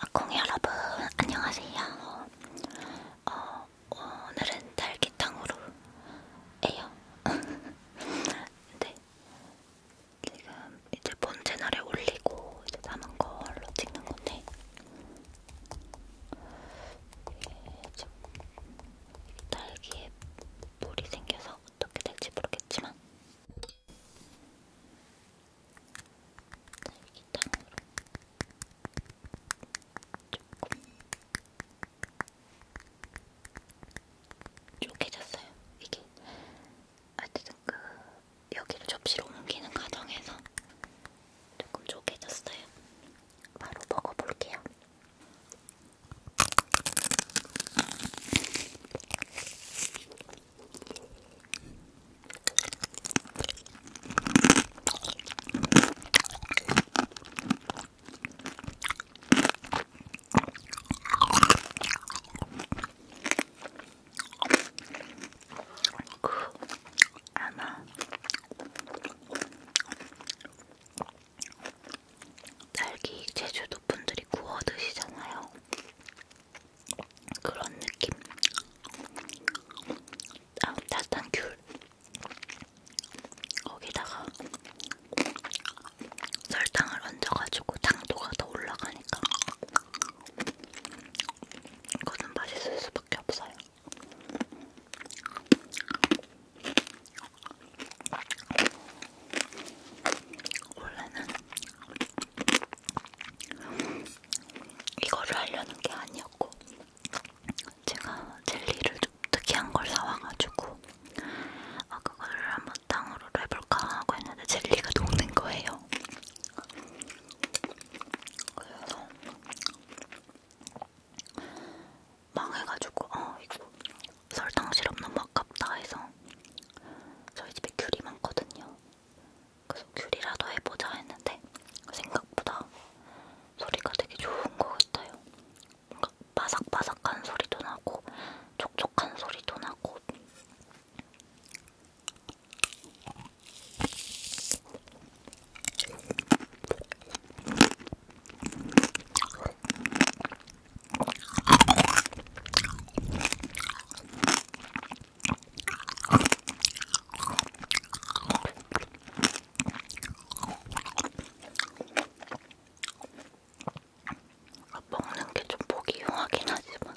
아콩 여러분 안녕하세요. 어, 오늘은 딸기탕으로 해요. 네. 지금 이제 본 채널에 올리고 이제 남은 걸로 찍는 건데 이게 지금 딸기에 물이 생겨서 어떻게 될지 모르겠지만 딸기탕으로 조금 쪼개졌어요. 이게 하여튼 아, 그 여기를 접시로 옮기는 과정에서 조금 쪼개졌어요. 바로 먹어볼게요. 아마 딸기 제주도 분들이 구워 드시잖아요. 그런 느낌. 아, 따뜻한 귤. 거기다가 설탕을 얹어가지고 당도가 더 올라가니까 이거는 맛있을 수밖에 없어요. 원래는 이거를 하려는 게 아니었고 제가 젤리를 좀 특이한 걸 사와가지고 아 그거를 한번 땅으로 해볼까 하고 했는데 젤리가 녹는 거예요. 그래서 망해가지고 아 이거 설탕 시럽 너무 아깝다 해서 저희 집에 귤이 많거든요. 그래서 귤이라도 해보자 했는데 생각보다 소리가 되게 좋은 것 같아요. 뭔가 바삭바삭한 소리도 나고 촉촉한 소리도 나고 먹는 게 좀 보기 용하긴 하지만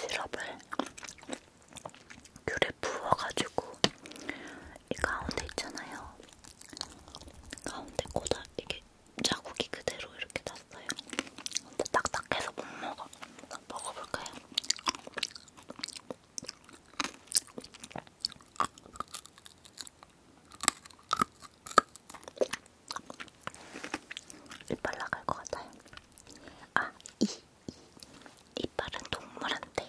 시럽을 귤에 부어가지고 이 가운데 있잖아요. 가운데 꼬다 이게 자국이 그대로 이렇게 났어요. 근데 딱딱해서 못 먹어. 먹어볼까요? 이빨 나갈 것 같아요. 아, 이, 이. 이빨은 동물한테.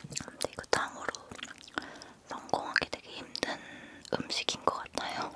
근데 이거 탕으로 성공하기 되게 힘든 음식인 것 같아요.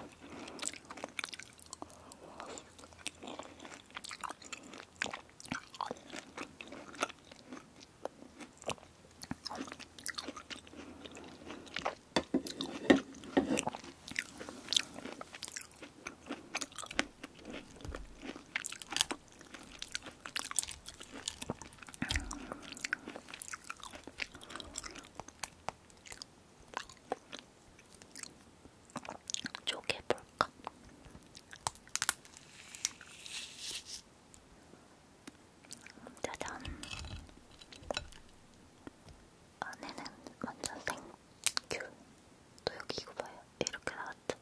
쪼개볼까? 짜잔. 안에는 완전 생귤. 또 여기 이거 봐요. 이렇게 나왔죠?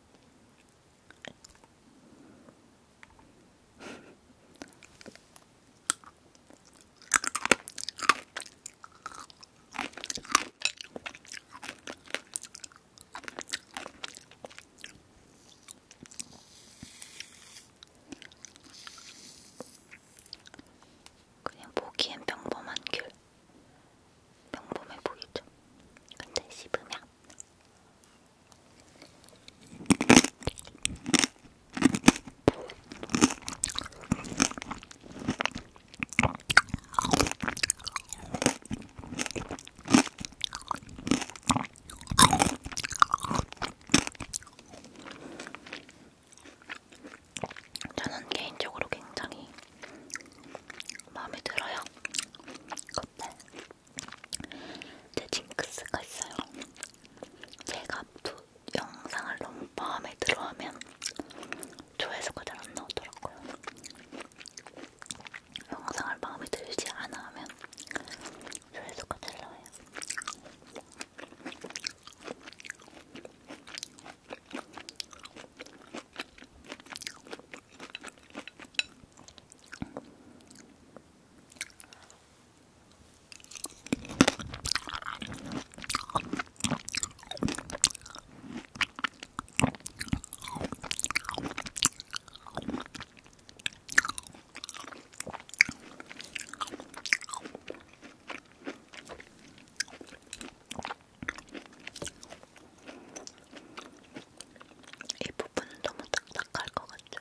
그냥 보기엔 평범한 귤 평범해 보이죠? 근데 씹으면 저는 개인적으로 굉장히 마음에 들어요. 근데 제 징크스가 있어요. 제가 두 영상을 너무 마음에 들어하면 조회수가 잘 안 나오더라고요. 영상을 마음에 들지 않아 하면 조회수가 잘 나와요. 이 부분은 너무 딱딱할 것 같죠?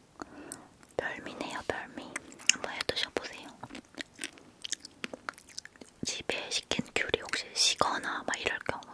별미네요, 별미. 한번 해드셔보세요. 집에 시킨 귤이 혹시 시거나 막 이럴 경우에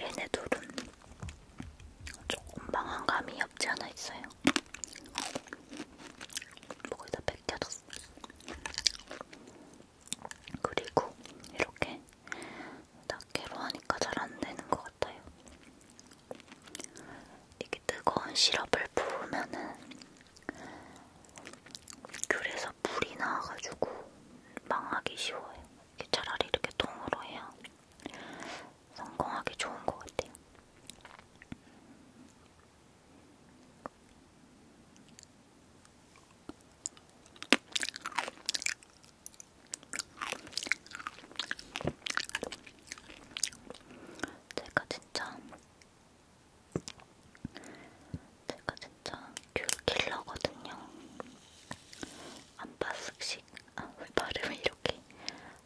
얘네 둘은 조금 망한 감이 없지 않아 있어요. 목을 다 벗겨졌어. 그리고 이렇게 낱개로 하니까 잘 안 되는 것 같아요. 이게 뜨거운 시럽을 부으면은 그래서 물이 나와가지고 망하기 쉬워요. 차라리 이렇게 통으로 해야 성공하기 좋은 것 같아요. 제가 진짜 제가 진짜 귤킬러거든요. 안박스씩, 아, 발음이 이렇게.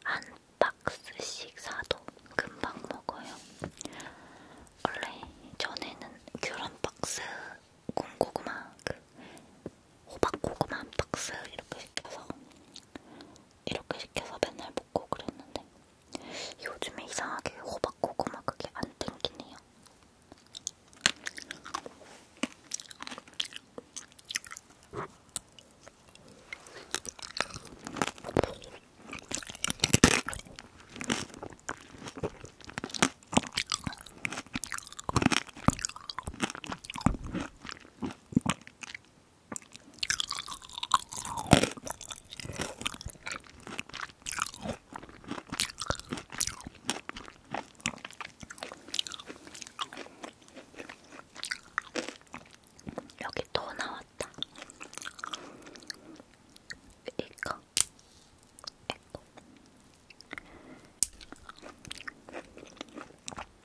안박스씩 사도 금방 먹어요. 원래 전에는 귤 안박스, 콩고구마, 그 호박고구마 안박스 이렇게 시켜서 이렇게 시켜서 맨날 먹고 그랬는데 요즘에 이상하게 호박고구마 그게 안 땡기네요. 여기 또 나왔다. 이거. 이거.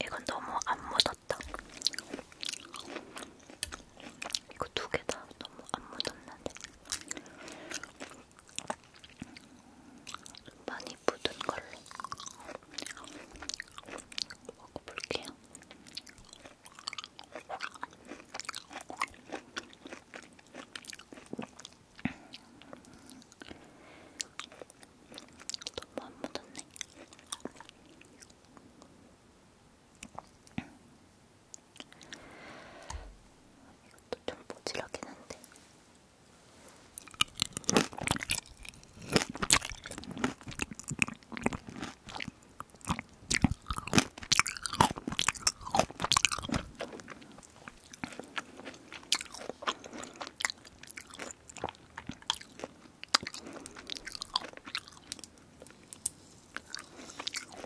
이건 너무 안 묻었다. 이거 두 개 다 너무 안 묻었는데 많이 묻은 걸로 먹어볼게요. 너무 안 묻었네. 이것도 좀 모질하긴 한데.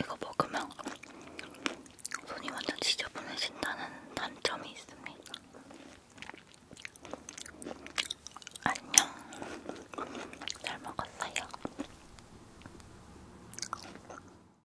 이거 먹으면 손이 완전 지저분해진다는 단점이 있습니다. 안녕. 잘 먹었어요.